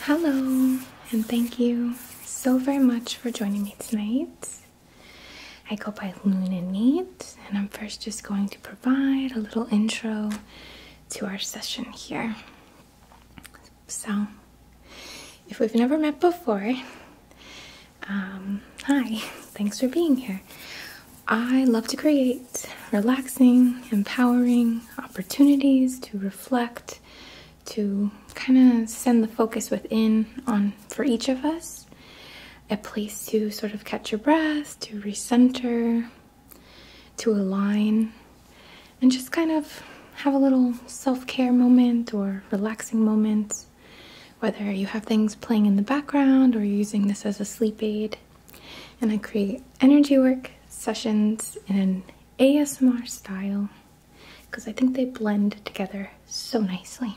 Hello, and thank you so very much for joining me tonight. I go by Luna and Neat, and I'm first just going to provide a little intro to our session here. So, if we've never met before, um, hi, thanks for being here. I love to create relaxing, empowering opportunities to reflect, to kind of send the focus within on for each of us. A place to sort of catch your breath, to recenter, to align, and just kind of have a little self care moment or relaxing moment. Whether you have things playing in the background or you're using this as a sleep aid, and I create energy work sessions in an ASMR style because I think they blend together so nicely.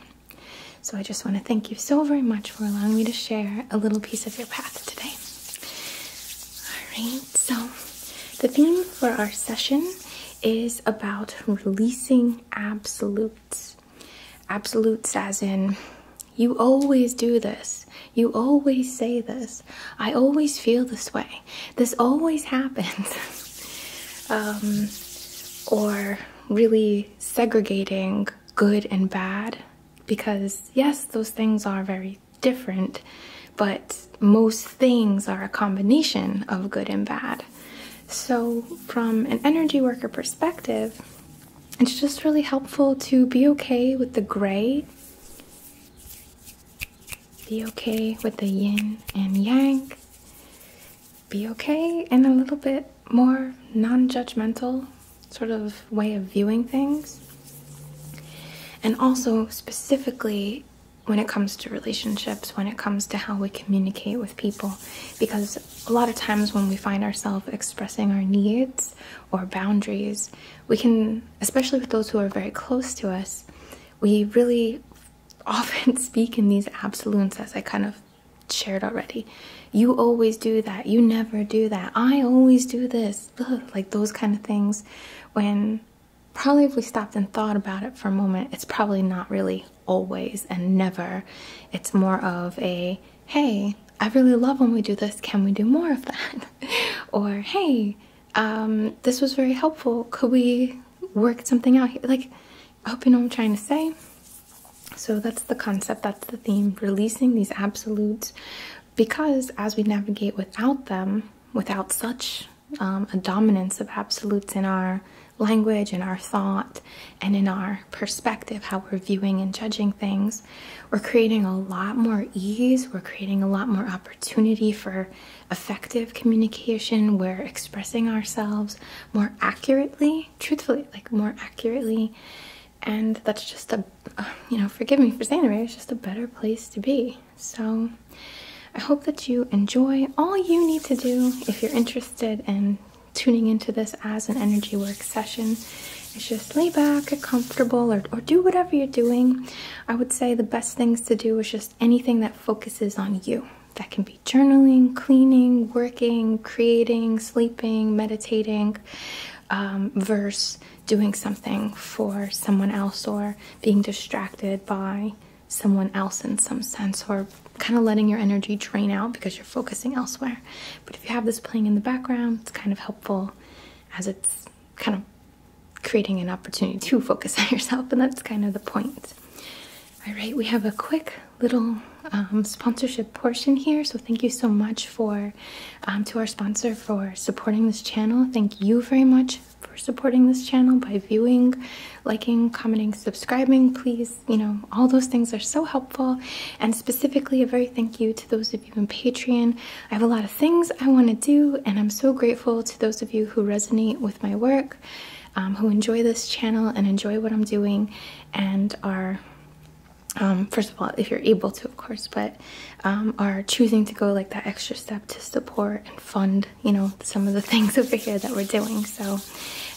So I just want to thank you so very much for allowing me to share a little piece of your path today. Alright, so the theme for our session is about releasing absolutes. Absolutes as in you always do this. You always say this. I always feel this way. This always happens. Um, or really segregating good and bad because, yes, those things are very different, but most things are a combination of good and bad. So, from an energy worker perspective, it's just really helpful to be okay with the gray, be okay with the yin and yang, be okay in a little bit more non judgmental sort of way of viewing things. And also, specifically, when it comes to relationships, when it comes to how we communicate with people. Because a lot of times when we find ourselves expressing our needs or boundaries, we can, especially with those who are very close to us, we really often speak in these absolutes, as I kind of shared already. You always do that. You never do that. I always do this. like those kind of things. When probably if we stopped and thought about it for a moment, it's probably not really always and never. It's more of a hey, I really love when we do this, can we do more of that? or hey, um, this was very helpful, could we work something out here? Like, I hope you know what I'm trying to say. So that's the concept, that's the theme, releasing these absolutes because as we navigate without them, without such um, a dominance of absolutes in our language, and our thought, and in our perspective, how we're viewing and judging things, we're creating a lot more ease, we're creating a lot more opportunity for effective communication, we're expressing ourselves more accurately, truthfully, like more accurately. And that's just a, you know, forgive me for saying it, but It's just a better place to be. So I hope that you enjoy. All you need to do if you're interested in tuning into this as an energy work session is just lay back, get comfortable, or, or do whatever you're doing. I would say the best things to do is just anything that focuses on you. That can be journaling, cleaning, working, creating, sleeping, meditating, um, versus doing something for someone else or being distracted by someone else in some sense or kind of letting your energy drain out because you're focusing elsewhere. But if you have this playing in the background, it's kind of helpful as it's kind of creating an opportunity to focus on yourself, and that's kind of the point. All right, we have a quick little um, sponsorship portion here. So thank you so much for um, to our sponsor for supporting this channel. Thank you very much for supporting this channel by viewing, liking, commenting, subscribing. Please, you know, all those things are so helpful. And specifically, a very thank you to those of even Patreon. I have a lot of things I want to do, and I'm so grateful to those of you who resonate with my work, um, who enjoy this channel and enjoy what I'm doing, and are um, first of all, if you're able to, of course, but um, are choosing to go like that extra step to support and fund, you know, some of the things over here that we're doing. So,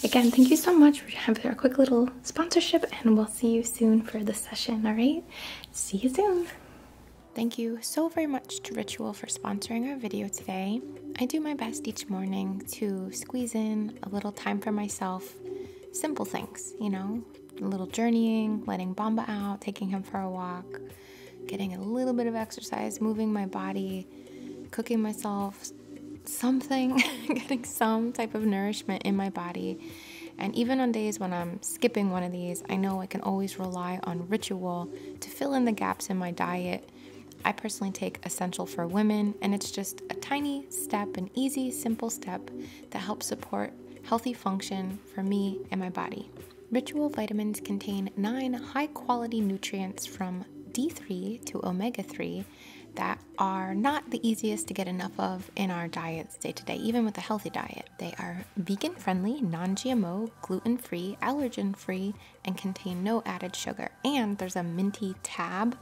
again, thank you so much for having our quick little sponsorship, and we'll see you soon for the session. All right, See you soon. Thank you so very much to Ritual for sponsoring our video today. I do my best each morning to squeeze in a little time for myself. Simple things, you know, a little journeying, letting Bamba out, taking him for a walk, getting a little bit of exercise, moving my body, cooking myself something, getting some type of nourishment in my body and even on days when I'm skipping one of these, I know I can always rely on ritual to fill in the gaps in my diet. I personally take Essential for Women, and it's just a tiny step, an easy, simple step that helps support healthy function for me and my body. Ritual vitamins contain nine high quality nutrients from D3 to omega 3 that are not the easiest to get enough of in our diets day to day, even with a healthy diet. They are vegan friendly, non GMO, gluten free, allergen free, and contain no added sugar. And there's a minty tab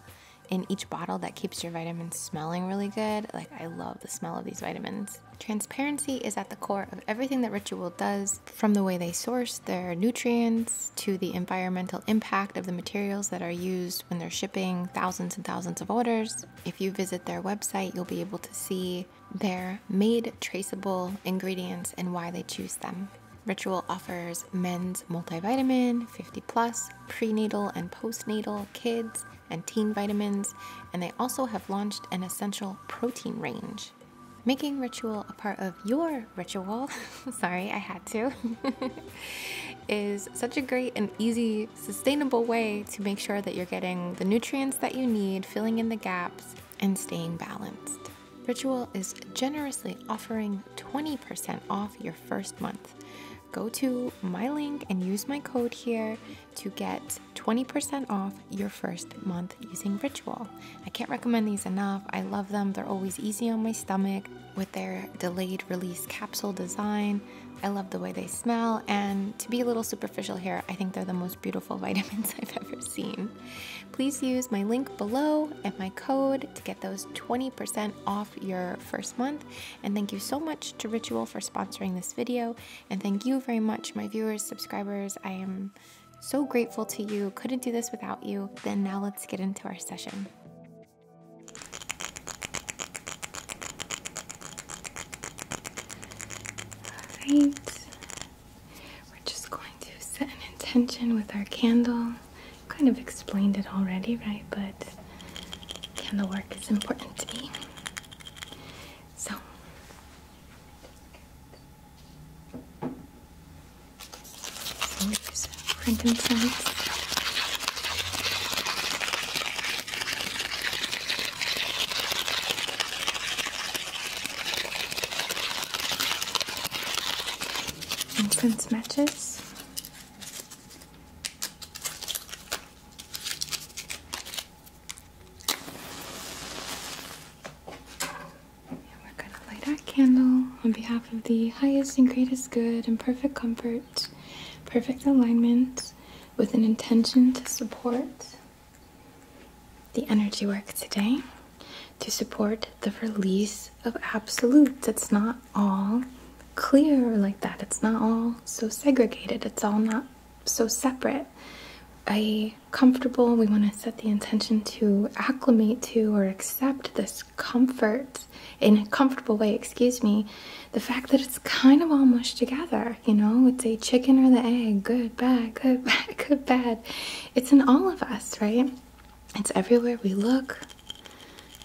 in each bottle that keeps your vitamins smelling really good. Like, I love the smell of these vitamins. Transparency is at the core of everything that Ritual does, from the way they source their nutrients to the environmental impact of the materials that are used when they're shipping thousands and thousands of orders. If you visit their website, you'll be able to see their made traceable ingredients and why they choose them. Ritual offers men's multivitamin, 50 plus, prenatal and postnatal, kids, and teen vitamins, and they also have launched an essential protein range. Making ritual a part of your ritual, sorry, I had to, is such a great and easy sustainable way to make sure that you're getting the nutrients that you need, filling in the gaps, and staying balanced. Ritual is generously offering 20% off your first month. Go to my link and use my code here to get 20% off your first month using Ritual. I can't recommend these enough. I love them. They're always easy on my stomach with their delayed release capsule design. I love the way they smell, and to be a little superficial here, I think they're the most beautiful vitamins I've ever seen. Please use my link below and my code to get those 20% off your first month. And thank you so much to Ritual for sponsoring this video. And thank you very much, my viewers, subscribers. I am so grateful to you. Couldn't do this without you. Then now let's get into our session. Alright, we're just going to set an intention with our candle. Kind of explained it already, right? But candle work is important to me. So, so we use frankincense. Incense matches. we're going to light our candle on behalf of the highest and greatest good and perfect comfort, perfect alignment, with an intention to support the energy work today, to support the release of absolutes. It's not all clear like that, it's not all so segregated, it's all not so separate. A comfortable, we want to set the intention to acclimate to or accept this comfort in a comfortable way, excuse me, the fact that it's kind of all mushed together, you know, it's a chicken or the egg, good, bad, good, bad, good, bad. It's in all of us, right? It's everywhere we look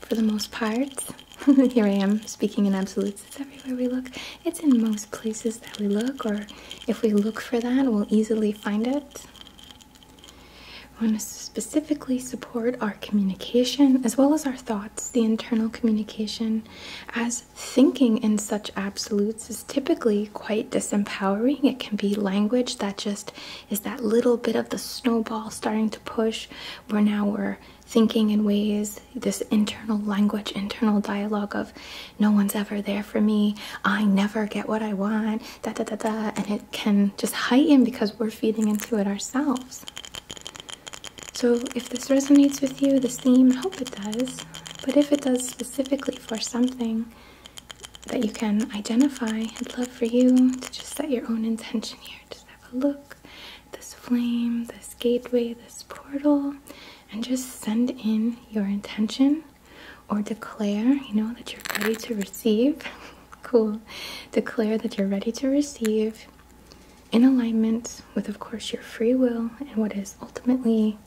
for the most part. Here I am speaking in absolutes. It's everywhere we look. It's in most places that we look, or if we look for that, we'll easily find it. We want to specifically support our communication as well as our thoughts, the internal communication, as thinking in such absolutes is typically quite disempowering. It can be language that just is that little bit of the snowball starting to push, where now we're thinking in ways, this internal language, internal dialogue of no one's ever there for me, I never get what I want, da da da da, and it can just heighten because we're feeding into it ourselves. So, if this resonates with you, this theme, I hope it does. But if it does specifically for something that you can identify, I'd love for you to just set your own intention here. Just have a look this flame, this gateway, this portal, and just send in your intention or declare, you know, that you're ready to receive. cool. Declare that you're ready to receive in alignment with, of course, your free will and what is ultimately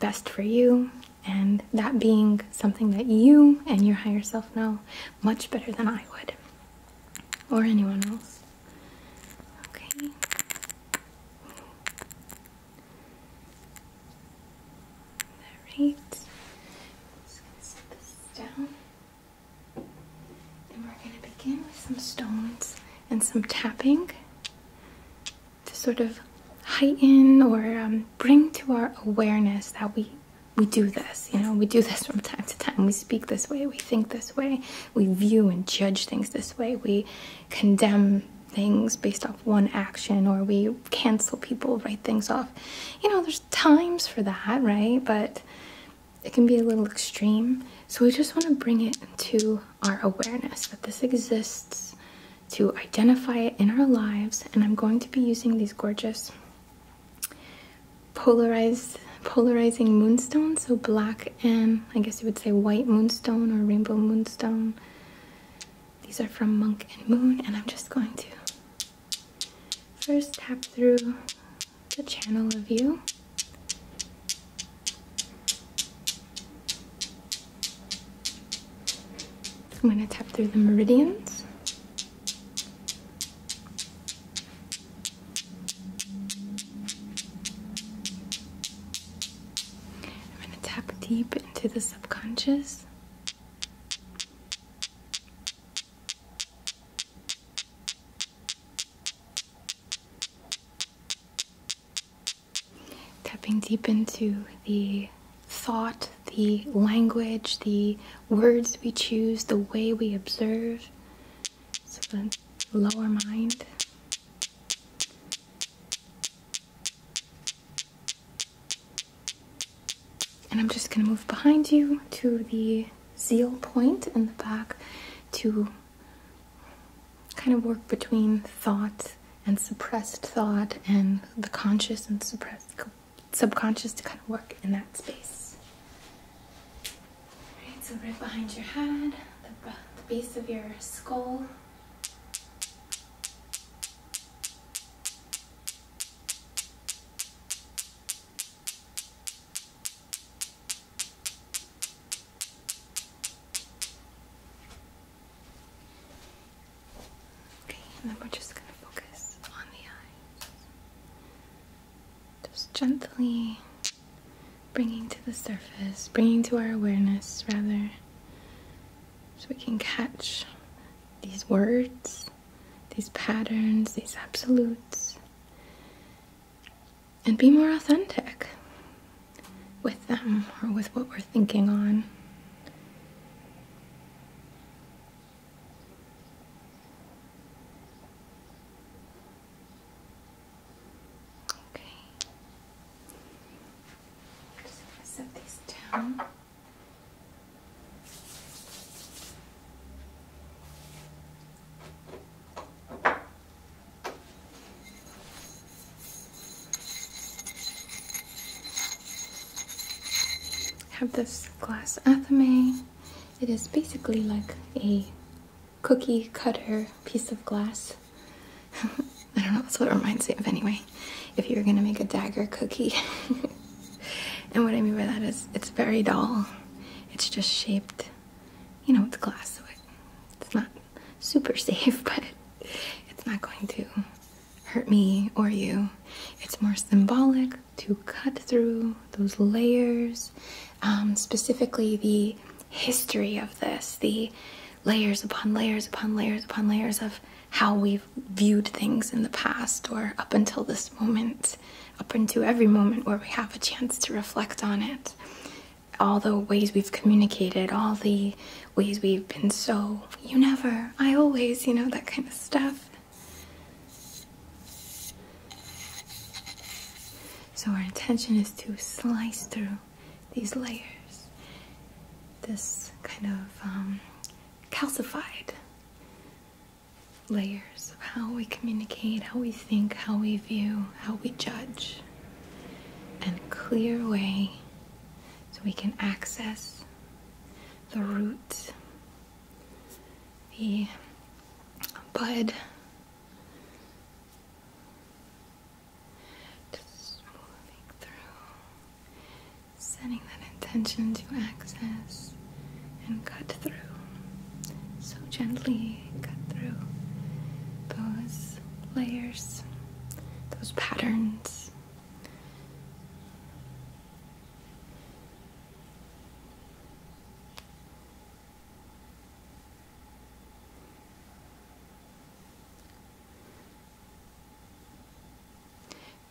best for you, and that being something that you and your higher self know much better than I would or anyone else. Okay. Alright. Just gonna set this down. And we're gonna begin with some stones and some tapping to sort of heighten or um, bring to our awareness that we we do this you know we do this from time to time we speak this way we think this way we view and judge things this way we condemn things based off one action or we cancel people write things off you know there's times for that right but it can be a little extreme so we just want to bring it to our awareness that this exists, to identify it in our lives. And I'm going to be using these gorgeous polarized polarizing moonstone so black and i guess you would say white moonstone or rainbow moonstone these are from monk and moon and i'm just going to first tap through the channel of you I'm going to tap through the meridians. I'm going to tap deep into the subconscious. Tapping deep into the thought, the language, the words we choose, the way we observe. So the lower mind. And I'm just going to move behind you to the zeal point in the back to kind of work between thought and suppressed thought and the conscious and suppressed subconscious to kind of work in that space. All right, so right behind your head, the base of your skull. Okay, and then we're just going to focus on the eyes. Just gently bringing to the surface, bringing to our awareness rather, so we can catch these words, these patterns, these absolutes, and be more authentic with them or with what we're thinking on. Okay. just gonna set these down have this glass athame. It is basically like a cookie cutter piece of glass. I don't know, what it reminds me of anyway. If you are gonna make a dagger cookie. and what I mean by that is it's very dull. It's just shaped, you know, it's glass, so it, it's not super safe, but it's not going to hurt me or you. It's more symbolic to cut through those layers, um, specifically the history of this, the layers upon layers upon layers upon layers of how we've viewed things in the past or up until this moment, up into every moment where we have a chance to reflect on it all the ways we've communicated, all the ways we've been so, you never, I always, you know, that kind of stuff. So our intention is to slice through these layers, this kind of um, calcified layers of how we communicate, how we think, how we view, how we judge and clear way so we can access the root, the bud. Just moving through, setting that intention to access and cut through. So gently cut through those layers those patterns.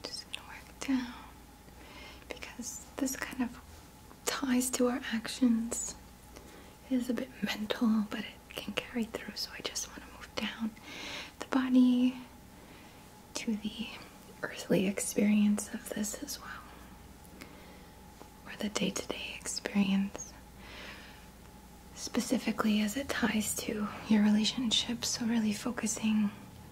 Just work down because this kind of ties to our actions is a bit mental, but it can carry through. So I just want to move down the body to the earthly experience of this as well, or the day to day experience, specifically as it ties to your relationship. So, really focusing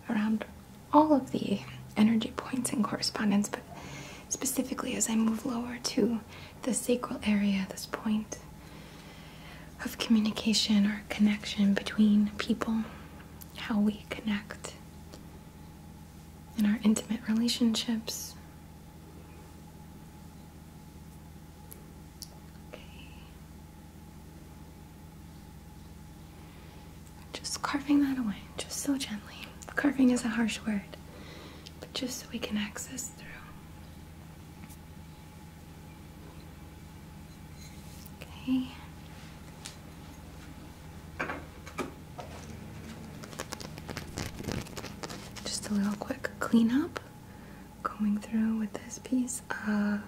around all of the energy points and correspondence, but specifically as I move lower to the sacral area, this point of communication or connection between people, how we connect in our intimate relationships. Okay. Just carving that away, just so gently. Carving is a harsh word, but just so we can access through. Okay. Just a little quick cleanup. Going through with this piece of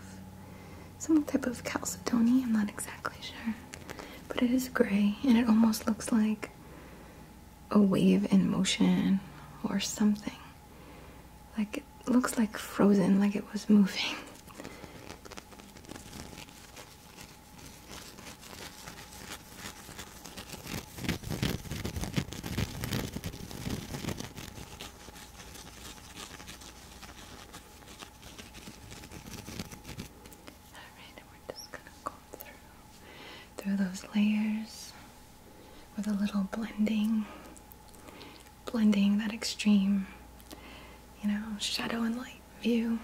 some type of chalcedony, I'm not exactly sure. But it is gray and it almost looks like a wave in motion or something. Like it looks like frozen, like it was moving. All right, and we're just gonna go through through those layers with a little blending, blending that extreme, you know, shadow and light view.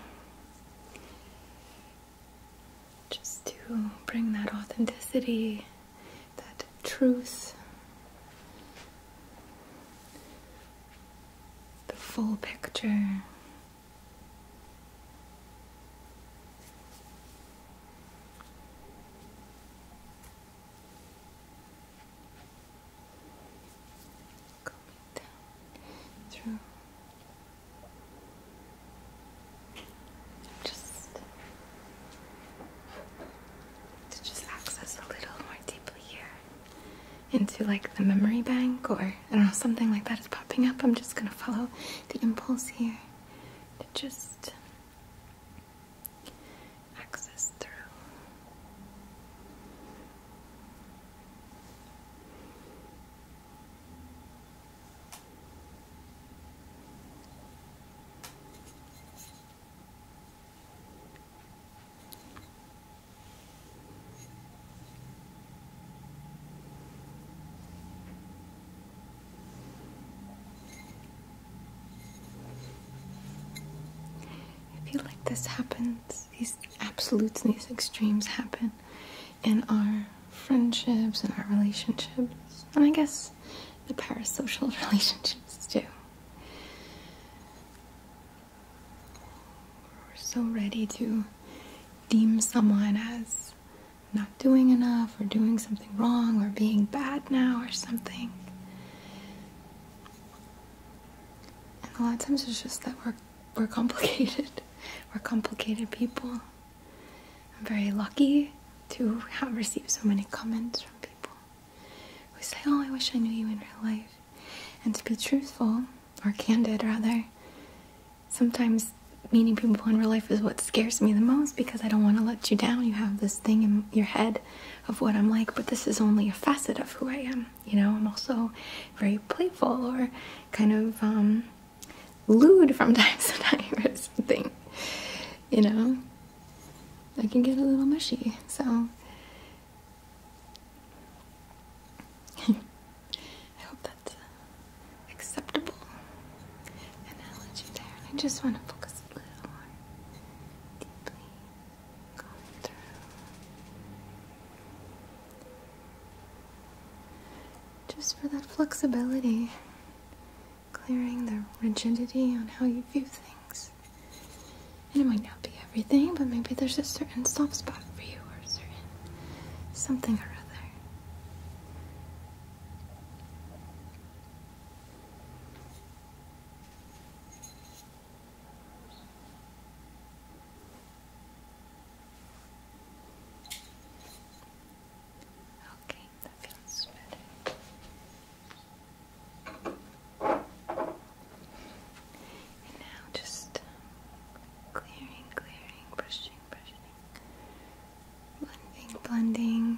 Just to bring that authenticity, that truth, the full picture just to just access a little more deeply here into like the memory bank or I don't know something like that is popping up. I'm just gonna follow the impulse here to just access through. I feel like this happens, these absolutes these extremes happen in our friendships and our relationships, and I guess the parasocial relationships too. We're so ready to deem someone as not doing enough or doing something wrong or being bad now or something. And a lot of times it's just that we're we're complicated. We're complicated people. I'm very lucky to have received so many comments from people who say, Oh, I wish I knew you in real life. And to be truthful, or candid rather, sometimes meeting people in real life is what scares me the most because I don't want to let you down. You have this thing in your head of what I'm like, but this is only a facet of who I am. You know, I'm also very playful or kind of um, lewd from time to time or something. You know, I can get a little mushy, so. I hope that's acceptable analogy there. I just want to focus a little more just for that flexibility, clearing the rigidity on how you view things. And it might not be everything, but maybe there's a certain soft spot for you or certain something or other. Okay, that feels better. And now just um, clearing, clearing, brushing, brushing, blending, blending,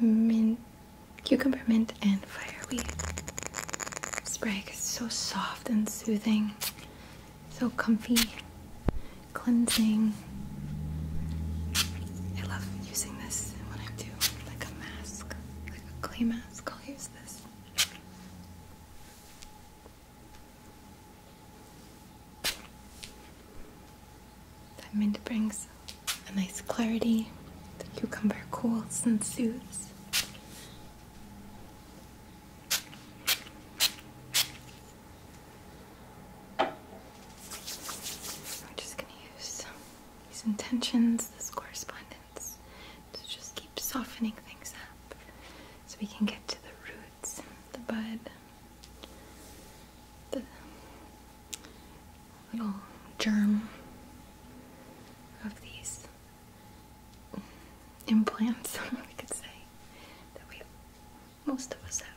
mint, cucumber mint, and fireweed. spray. is so soft and soothing, so comfy, cleansing. I love using this when I do like a mask, like a clay mask. I'll use this. That mint brings a nice clarity. The cucumber cools and soothes. We're just going to use these intentions, this correspondence, to just keep softening things up so we can get to the roots, the bud, the little germ of these implants, we could say, that we most of us have.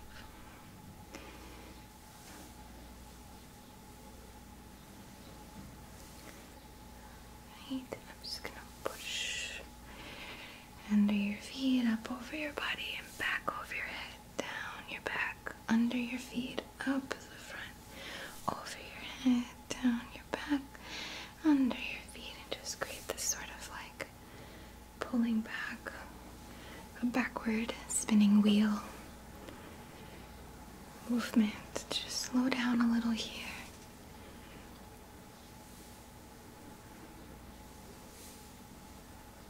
Right, I'm just gonna push under your feet, up over your body, and back over your head down your back, under your feet, up the front, over your head, down your back, under your feet, and just create this sort of like pulling back, a backward spinning wheel movement. Just slow down a little here.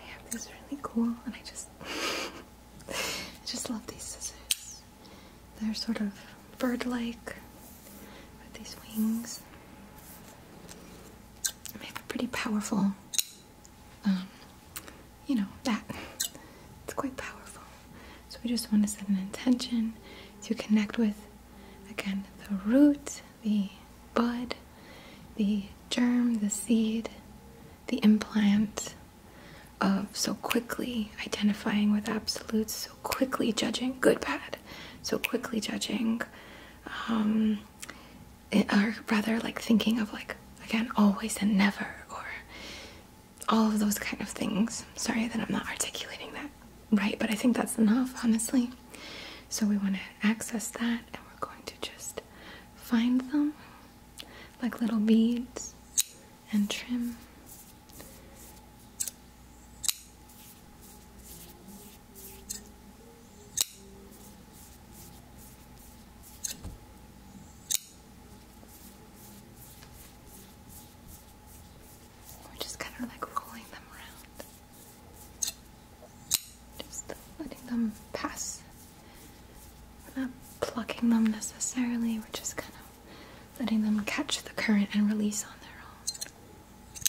I have these really cool, and I just, I just love these scissors. They're sort of bird-like with these wings. And they have a pretty powerful um, you know, that. It's quite powerful. So we just want to set an intention to connect with, again, the root, the bud, the germ, the seed, the implant of so quickly identifying with absolutes, so quickly judging good, bad, so quickly judging um, or rather like thinking of like again always and never or all of those kind of things sorry that i'm not articulating that right but i think that's enough honestly so we want to access that and we're going to just find them like little beads and trim we're just kind of like rolling them around. Just letting them pass. not plucking them necessarily, we're just kind of letting them catch the current and release on their own.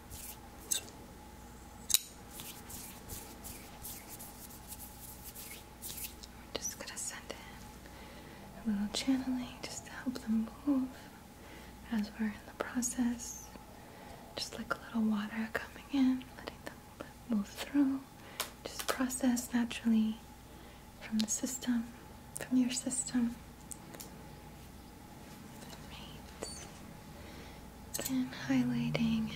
We're just going to send in a little channeling just to help them move as we're in the process. Just like a little water coming in, letting them move through. Just process naturally from the system, from your system. And highlighting.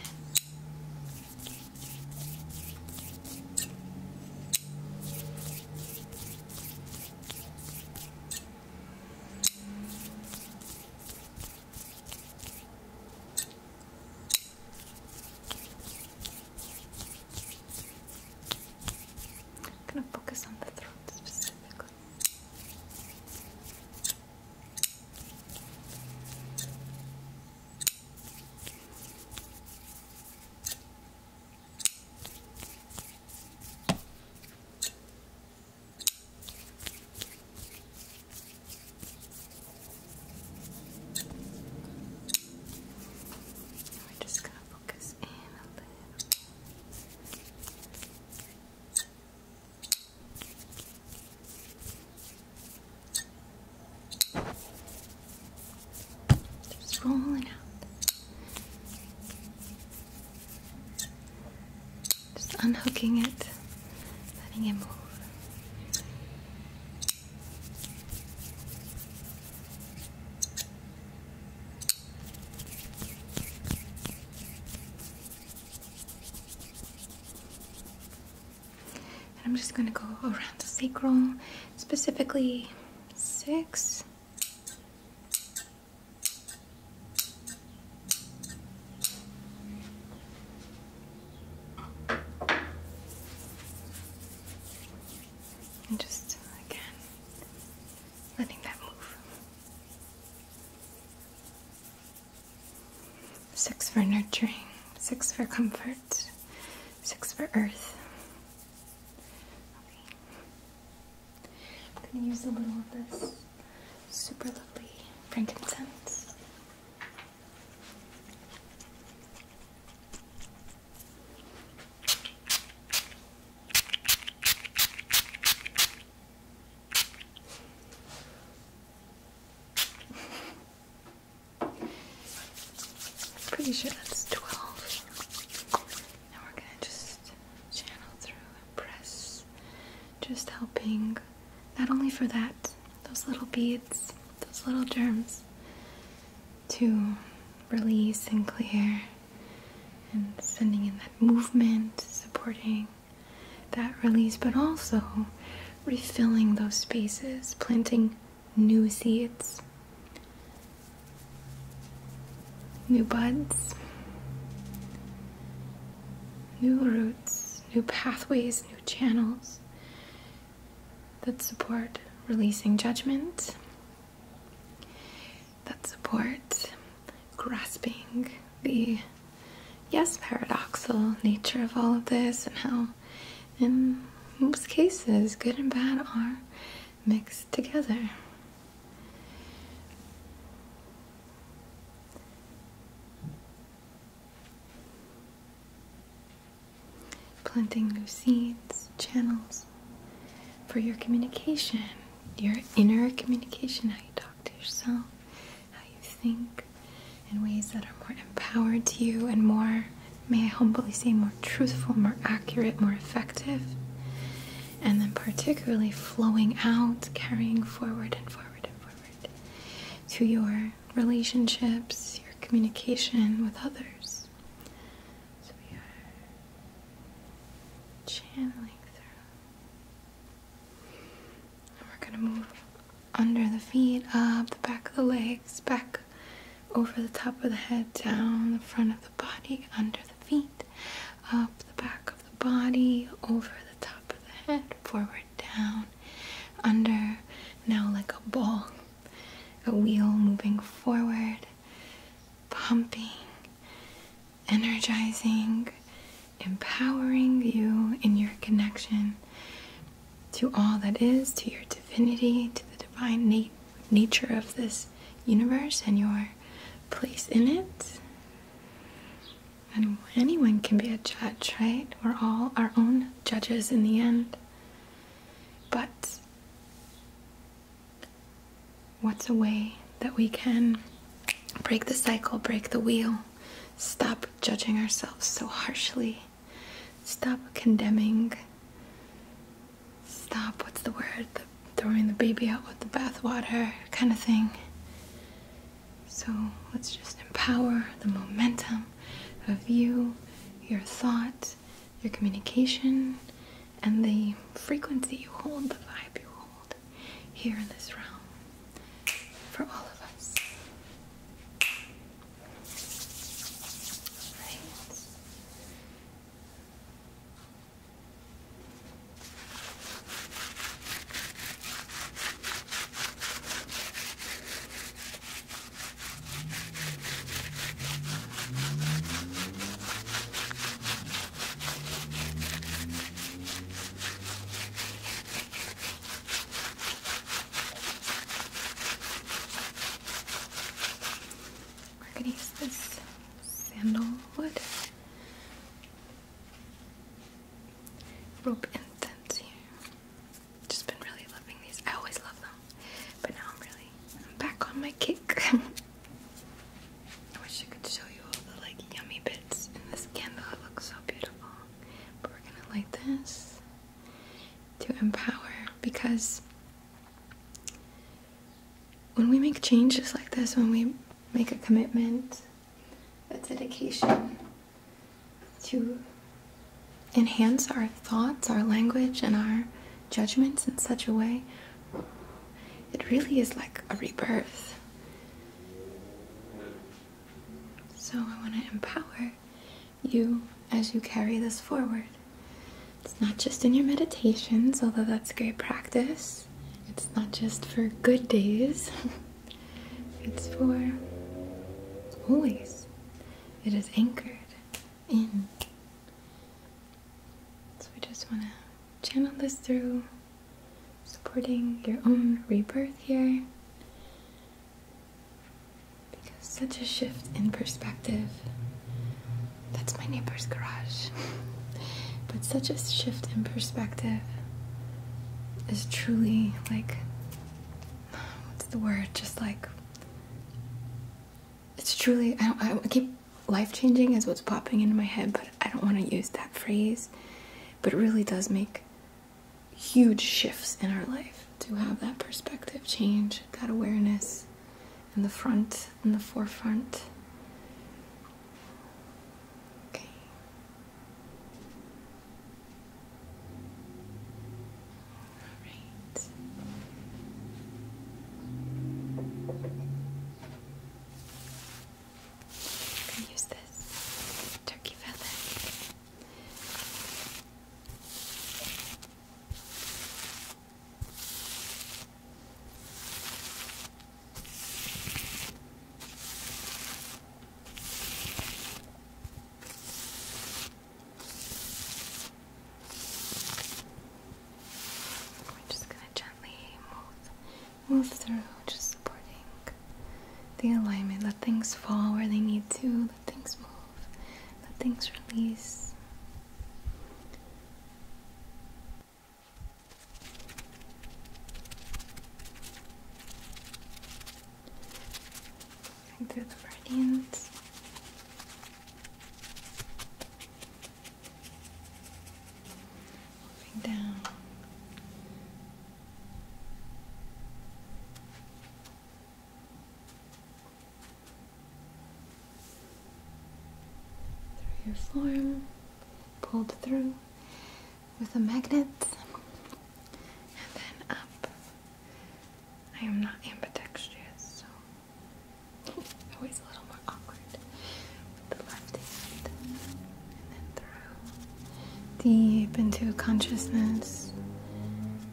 going to focus on the throat specifically look. Now we're just going to focus in a little. Just rolling out. Just unhooking it, letting it move. And I'm just going to go around the sacrum, specifically six. just again, letting that move. Six for nurturing, six for comfort, six for earth. I'm going to use a little of this super lovely frankincense. Pretty sure that's 12. Now we're gonna just channel through press, just helping not only for that, those little beads, those little germs to release and clear, and sending in that movement, supporting that release, but also refilling those spaces, planting new seeds, new buds, new roots, new pathways, new channels that support releasing judgment that support grasping the yes paradoxical nature of all of this and how in most cases good and bad are mixed together planting new seeds channels for your communication your inner communication how you to yourself, how you think, in ways that are more empowered to you and more, may I humbly say, more truthful, more accurate, more effective. And then, particularly, flowing out, carrying forward and forward and forward to your relationships, your communication with others. So we are channeling through we're going to move under the feet, up the back of the legs, back over the top of the head, down the front of the body, under the feet, up the back of the body, over the top of the head, forward, down, under, now like a ball, a wheel moving forward, pumping energizing, empowering you in your connection to all that is, to your divinity, to the divine nature of this universe and your place in it. And anyone can be a judge, right? We're all our own judges in the end. But what's a way that we can break the cycle, break the wheel, stop judging ourselves so harshly, stop condemning, stop what's the word, throwing the baby out with the bathwater kind of thing. So let's just empower the momentum of you, your thought, your communication, and the frequency you hold, the vibe you hold here in this realm for all of us. Right. We're gonna use this sandalwood rope and then Just been really loving these. I always love them, but now I'm really I'm back on my kick. I wish I could show you all the like yummy bits in this candle. It looks so beautiful. But we're gonna light this to empower because when we make changes like this, when we make a commitment, a dedication to enhance our thoughts, our language, and our judgments in such a way, it really is like a rebirth. So I want to empower you as you carry this forward. It's not just in your meditations, although that's great practice. It's not just for good days. it's for always. It is anchored in. So we just want to channel this through supporting your own rebirth here. Because such a shift in perspective. That's my neighbor's garage. but such a shift in perspective is truly like what's the word? Just like it's truly I don't I keep life changing as what's popping into my head, but I don't want to use that phrase. But it really does make huge shifts in our life to have that perspective change, that awareness in the front, in the forefront. Okay. All right. I'm gonna use this turkey feather. We're just going to gently move move through, just supporting the alignment. Let things fall where they need to, let things move, let things release. Moving through the meridians moving down. Through your form, pulled through with a magnet, and then up. I am not ambidextrous, so always a little more awkward with the left hand deep into consciousness,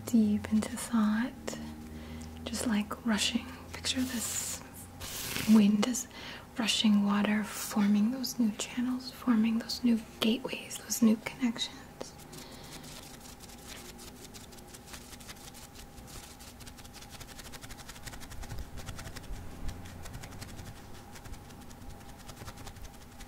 deep into thought, just like rushing. Picture this wind as rushing water, forming those new channels, forming those new gateways, those new connections.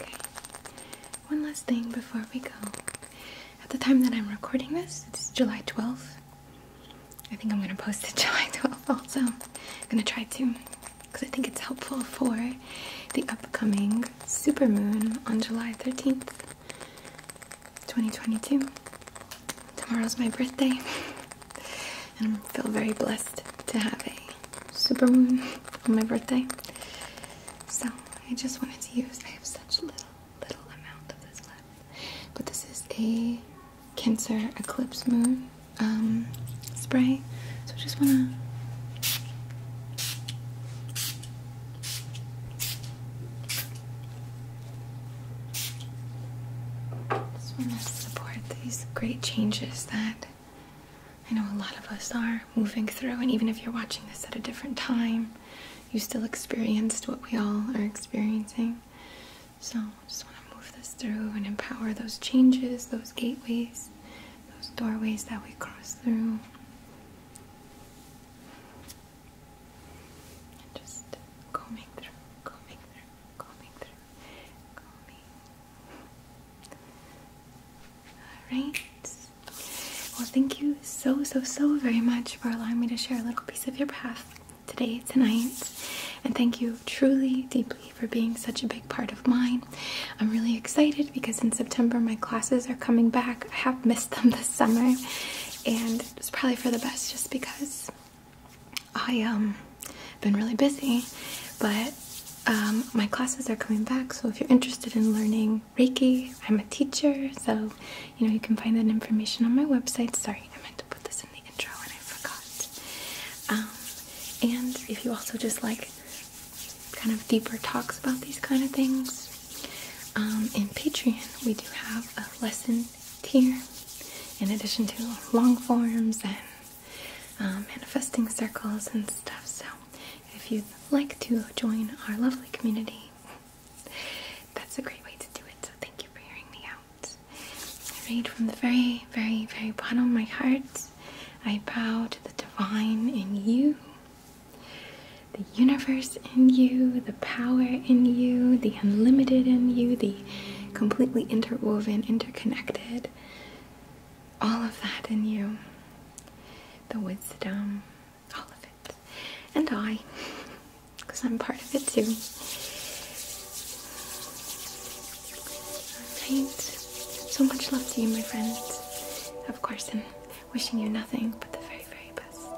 Okay. One last thing before we go. At the time that I'm recording this, it's July 12th. I think I'm gonna post it July 12th also. I'm gonna try to, because I think it's helpful for the upcoming super moon on July 13th, 2022. Tomorrow's my birthday, and I feel very blessed to have a super moon on my birthday. So I just wanted to use, I have such little little amount of this left. But this is a Cancer Eclipse Moon um, spray. So I just want to. Just want to support these great changes that I know a lot of us are moving through, and even if you're watching this at a different time, you still experienced what we all are experiencing. So I just want to move this through and empower those changes, those gateways, those doorways that we cross through. just combing through, combing through, combing through, combing. All right. Well, thank you so, so, so very much for allowing me to share a little piece of your path today, tonight. And thank you truly, deeply for being such a big part of mine. I'm really excited because in September my classes are coming back. I have missed them this summer, and it's probably for the best just because I, um, been really busy, but um, my classes are coming back. So if you're interested in learning Reiki, I'm a teacher, so you know, you can find that information on my website. Sorry, I meant to put this in the intro and I forgot. Um, and if you also just like kind of deeper talks about these kind of things, um, in Patreon we do have a lesson tier in addition to long forms and um, manifesting circles and stuff. So if you'd like to join our lovely community, that's a great way to do it, so thank you for hearing me out. I read from the very, very, very bottom of my heart. I bow to the divine in you, the universe in you, the power in you, the unlimited in you, the completely interwoven, interconnected, all of that in you. The wisdom, all of it, and I, because I'm part of it too. Right. So much love to you, my friend. Of course, and wishing you nothing but the very, very best.